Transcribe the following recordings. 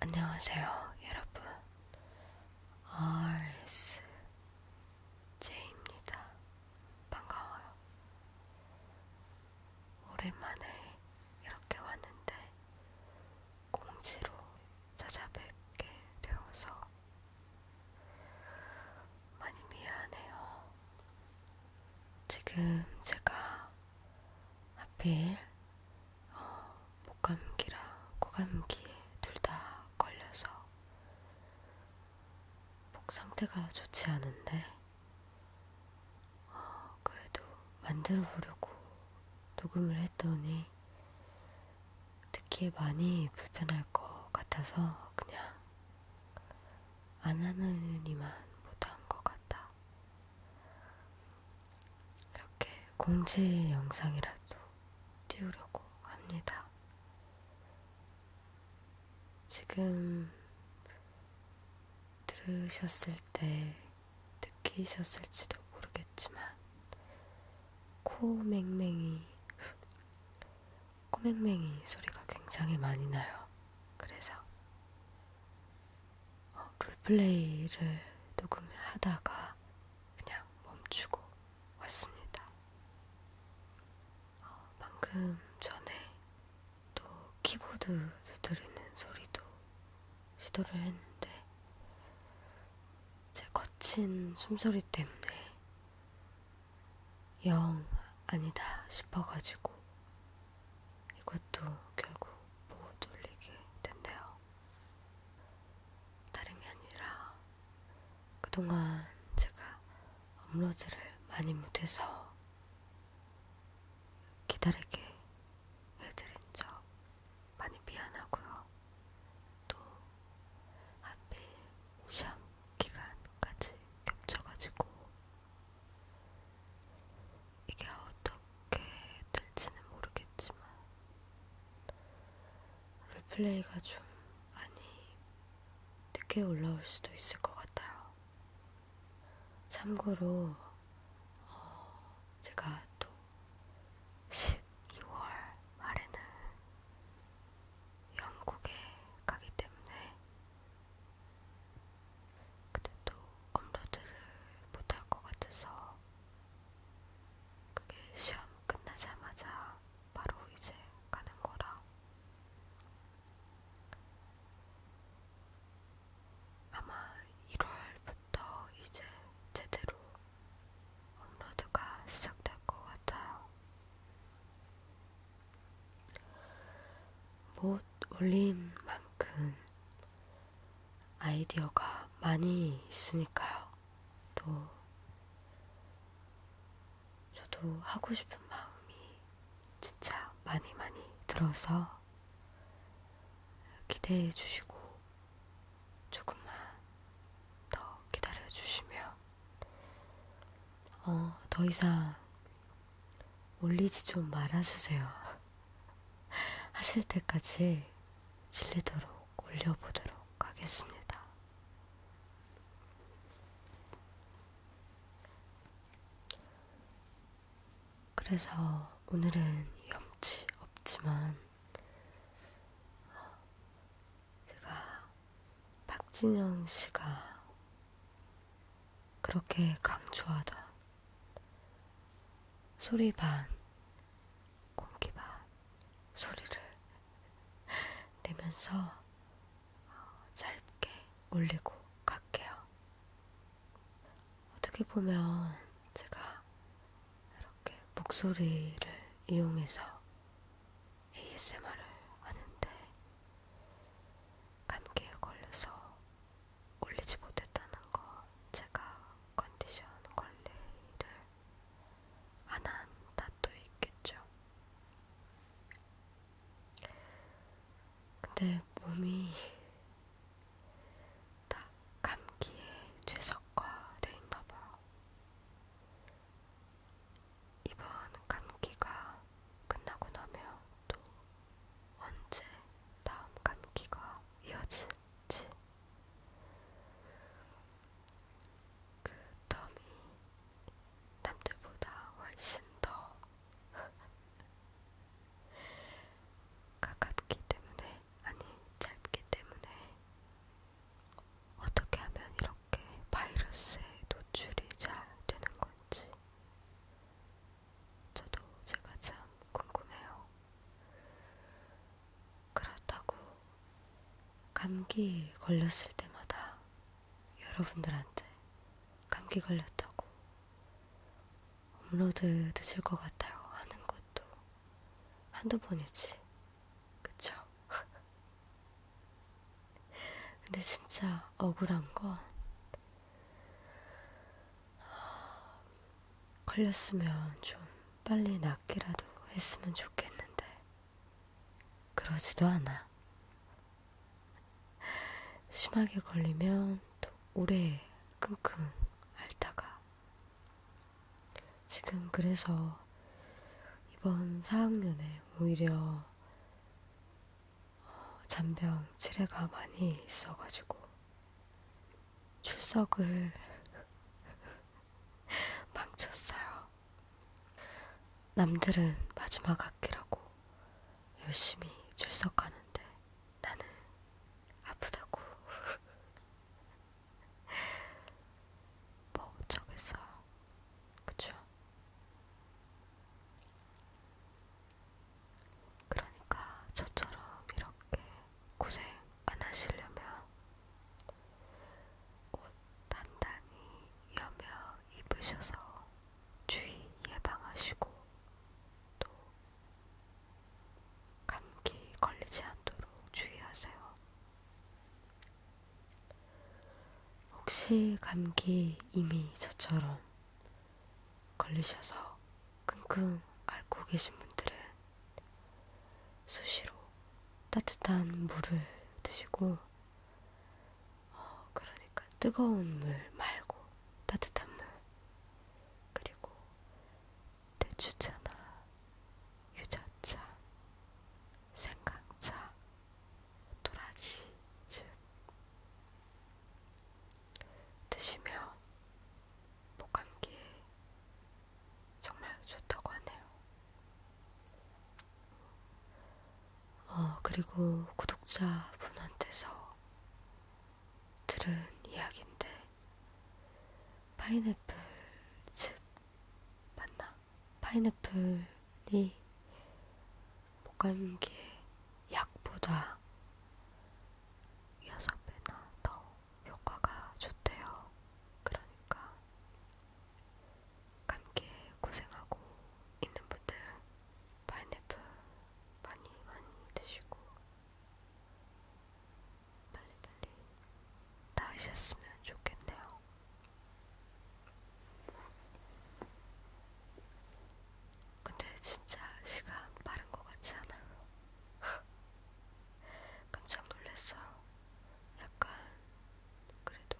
안녕하세요, 여러분. RSJ입니다. 반가워요. 오랜만에 이렇게 왔는데, 공지로 찾아뵙게 되어서 많이 미안해요. 지금 제가 하필 어, 목감기랑 코감기 둘 다 걸려서 목 상태가 좋지 않은데 어, 그래도 만들어 보려고 녹음을 했더니 듣기에 많이 불편할 것 같아서 그냥 안 하느니만 못한 것 같다. 이렇게 공지 영상이라도 띄우려고 합니다. 지금 들으셨을 때 느끼셨을지도 모르겠지만 코맹맹이 코맹맹이 소리가 굉장히 많이 나요. 그래서 어, 롤플레이를 녹음을 하다가 그냥 멈추고 왔습니다. 어, 방금 전에 또 키보드 두드리는 소리도 시도를 했는데 제 거친 숨소리 때문에 영 아니다 싶어가지고 이것도 결국 보고 돌리게 된대요. 다름이 아니라 그동안 제가 업로드를 많이 못해서 기다리게 해드린 적 많이 미안하고요. 또 하필 시험 기간까지 겹쳐가지고 이게 어떻게 될지는 모르겠지만 롤플레이가 좀 많이 늦게 올라올 수도 있을 것 같아요. 참고로 어, 제가 또 12월 말에는 영국에 가기 때문에 근데 또 업로드를 못할 것 같아서 그게 시험 끝나자마자 바로 이제 가는 거라 아마 1월부터 이제 제대로 업로드가 시작될 것 같아요. 못 올린 만큼 아이디어가 많이 있으니까요. 또 저도 하고 싶은 마음이 진짜 많이 많이 들어서 기대해 주시고 조금만 더 기다려 주시면 어, 더 이상 올리지 좀 말아주세요. 하실 때까지 질리도록 올려보도록 하겠습니다. 그래서 오늘은 염치 없지만 제가 박진영 씨가 그렇게 강조하던 소리 반, 공기 반 소리를 내면서 짧게 올리고 갈게요. 어떻게 보면 제가 이렇게 목소리를 이용해서 ASMR을 하는데 감기에 걸려서 올리지 못했다는 거 제가 컨디션 관리를 안한 탓도 있겠죠. 근데 몸이 딱 감기에 최적화돼 있나봐요. 이번 감기가 끝나고 나면 또 언제 다음 감기가 이어질지 그 덤이 남들보다 훨씬 더 가깝기 때문에 아니 짧기 때문에 어떻게 하면 이런 어떻게 바이러스에 노출이 잘 되는 건지 저도 제가 참 궁금해요. 그렇다고 감기 걸렸을 때마다 여러분들한테 감기 걸렸다고 업로드 늦을 것 같아요 하는 것도 한두 번이지. 그쵸? 근데 진짜 억울한 건 걸렸으면 좀 빨리 낫기라도 했으면 좋겠는데 그러지도 않아. 심하게 걸리면 또 오래 끙끙 앓다가 지금 그래서 이번 4학년에 오히려 잔병 치레가 많이 있어가지고 출석을 망쳤어요. 남들은 마지막 학기라고 열심히 출석하는데 나는 아프다고 뭐 어쩌겠어요. 그쵸? 그러니까 저처럼 이렇게 고생 안 하시려면 옷 단단히 여며 입으셔서 주의 예방하시고 또 감기 걸리지 않도록 주의하세요. 혹시 감기 이미 저처럼 걸리셔서 끙끙 앓고 계신 분들은 수시로 따뜻한 물을 드시고 어, 그러니까 뜨거운 물 말고 따뜻한 물 그리고 대추차나 유자차 생강차 도라지즙 드시면 목감기에 정말 좋다고 하네요. 어, 그리고 구독자 분한테서 들은 이야기인데 파인애플 즙 맞나? 파인애플이 목감기에 약보다 6배나 더 효과가 좋대요. 그러니까 감기에 고생하고 있는 분들 파인애플 많이 많이 드시고 빨리빨리 나으셨으면 좋겠네요. 근데 진짜 시간 빠른 것 같지 않아요? 깜짝 놀랐어요. 약간 그래도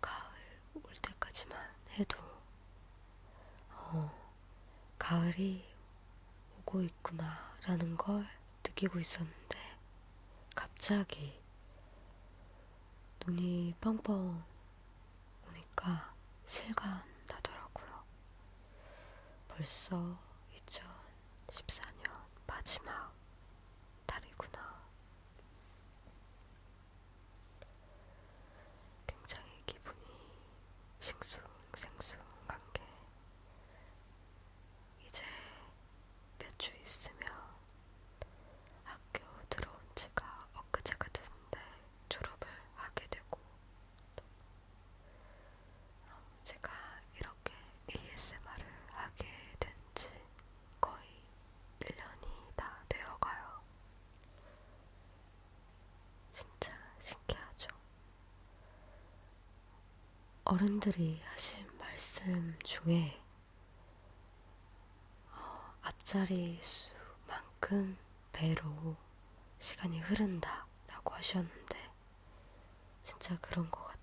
가을 올 때까지만 해도 어, 가을이 오고 있구나라는 걸 느끼고 있었는데 갑자기 눈이 펑펑 오니까 실감 나더라고요. 벌써 2014년 마지막 달이구나. 굉장히 기분이 싱숭생숭한 게 이제 몇 주 있으면 학교 들어온 지가 엊그제가 됐는데 졸업을 하게 되고 제가 이렇게 ASMR을 하게 된 지 거의 1년이 다 되어가요. 진짜 신기하죠? 어른들이 하신 말씀 중에 어, 앞자리 수만큼 배로 시간이 흐른다 라고 하셨는데 진짜 그런 것 같아요.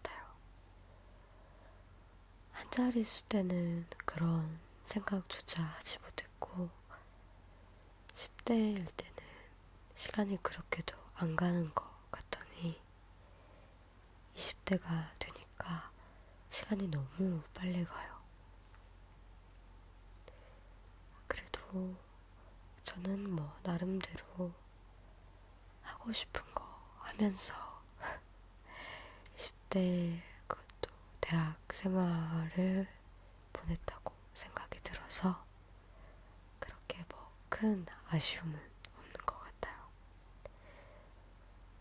한 자리수 때는 그런 생각조차 하지 못했고 10대일 때는 시간이 그렇게도 안 가는 것 같더니 20대가 되니까 시간이 너무 빨리 가요. 그래도 저는 뭐 나름대로 하고 싶은 거 하면서 20대 그것도 대학 생활을 보냈다고 생각이 들어서 그렇게 뭐 큰 아쉬움은 없는 것 같아요.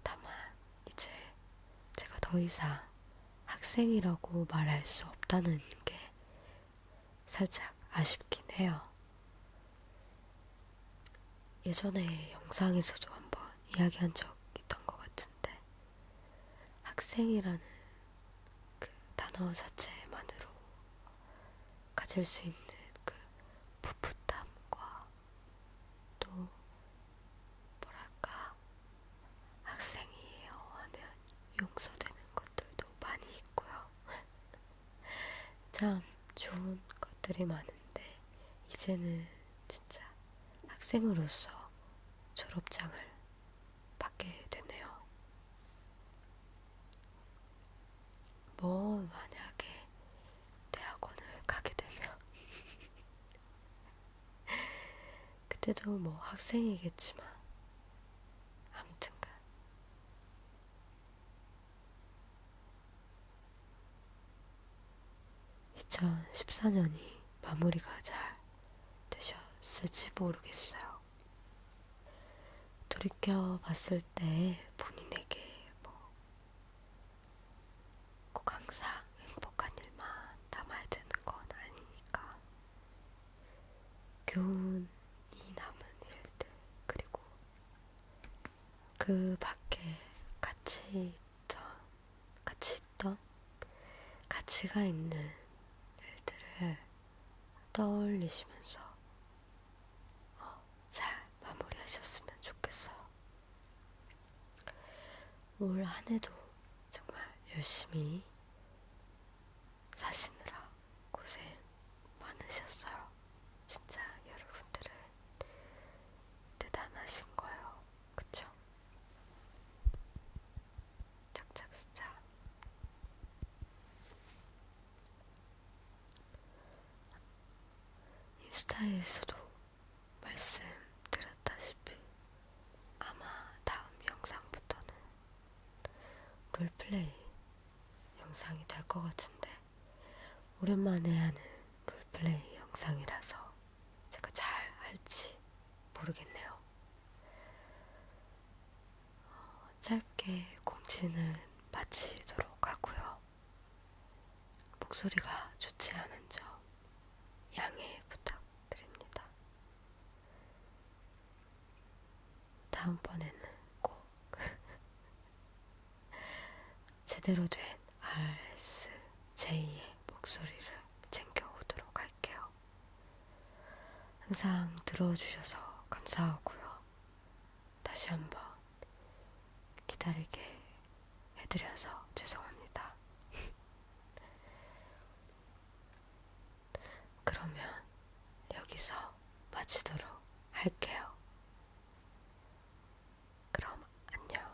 다만 이제 제가 더 이상 학생이라고 말할 수 없다는 게 살짝 아쉽긴 해요. 예전에 영상에서도 한번 이야기한 적 있던 것 같은데 학생이라는 그 단어 자체만으로 가질 수 있는 그 풋풋함과 또 뭐랄까 학생이에요 하면 용서되는 것들도 많이 있고요. 참 좋은 것들이 많은데 이제는 진짜 학생으로서 졸업장을 받게 됐네요. 뭐 만약에 대학원을 가게 되면 그때도 뭐 학생이겠지만 아무튼간 (2014년이) 마무리가 잘 되셨을지 모르겠어요. 돌이켜 봤을 때 본인에게 뭐 꼭 항상 행복한 일만 남아야 되는 건 아니니까 교훈이 남은 일들 그리고 그 밖에 같이 있던 같이 있던 가치가 있는 일들을 떠올리시면서 어, 잘 마무리하셨으면 좋겠어요. 올 한해도 정말 열심히 사시느라 고생 많으셨어요. 진짜 여러분들은 대단하신 거예요. 그쵸? 착착 스자 인스타에서도 말씀드렸다시피 아마 다음 영상부터는 롤플레이 영상이 될 것 같은데 오랜만에 하는 롤플레이 영상이라서 제가 잘 할지 모르겠네요. 어, 짧게 공지는 마치도록 하고요. 목소리가 좋지 않은 점 양해 부탁드립니다. 다음번에는 꼭 제대로 된 RSJ의 목소리를 챙겨오도록 할게요. 할게요. 항상 들어주셔서 감사하고요. 다시 한번 기다리게 해드려서 죄송합니다. 그러면 여기서 마치도록 할게요. 그럼 안녕.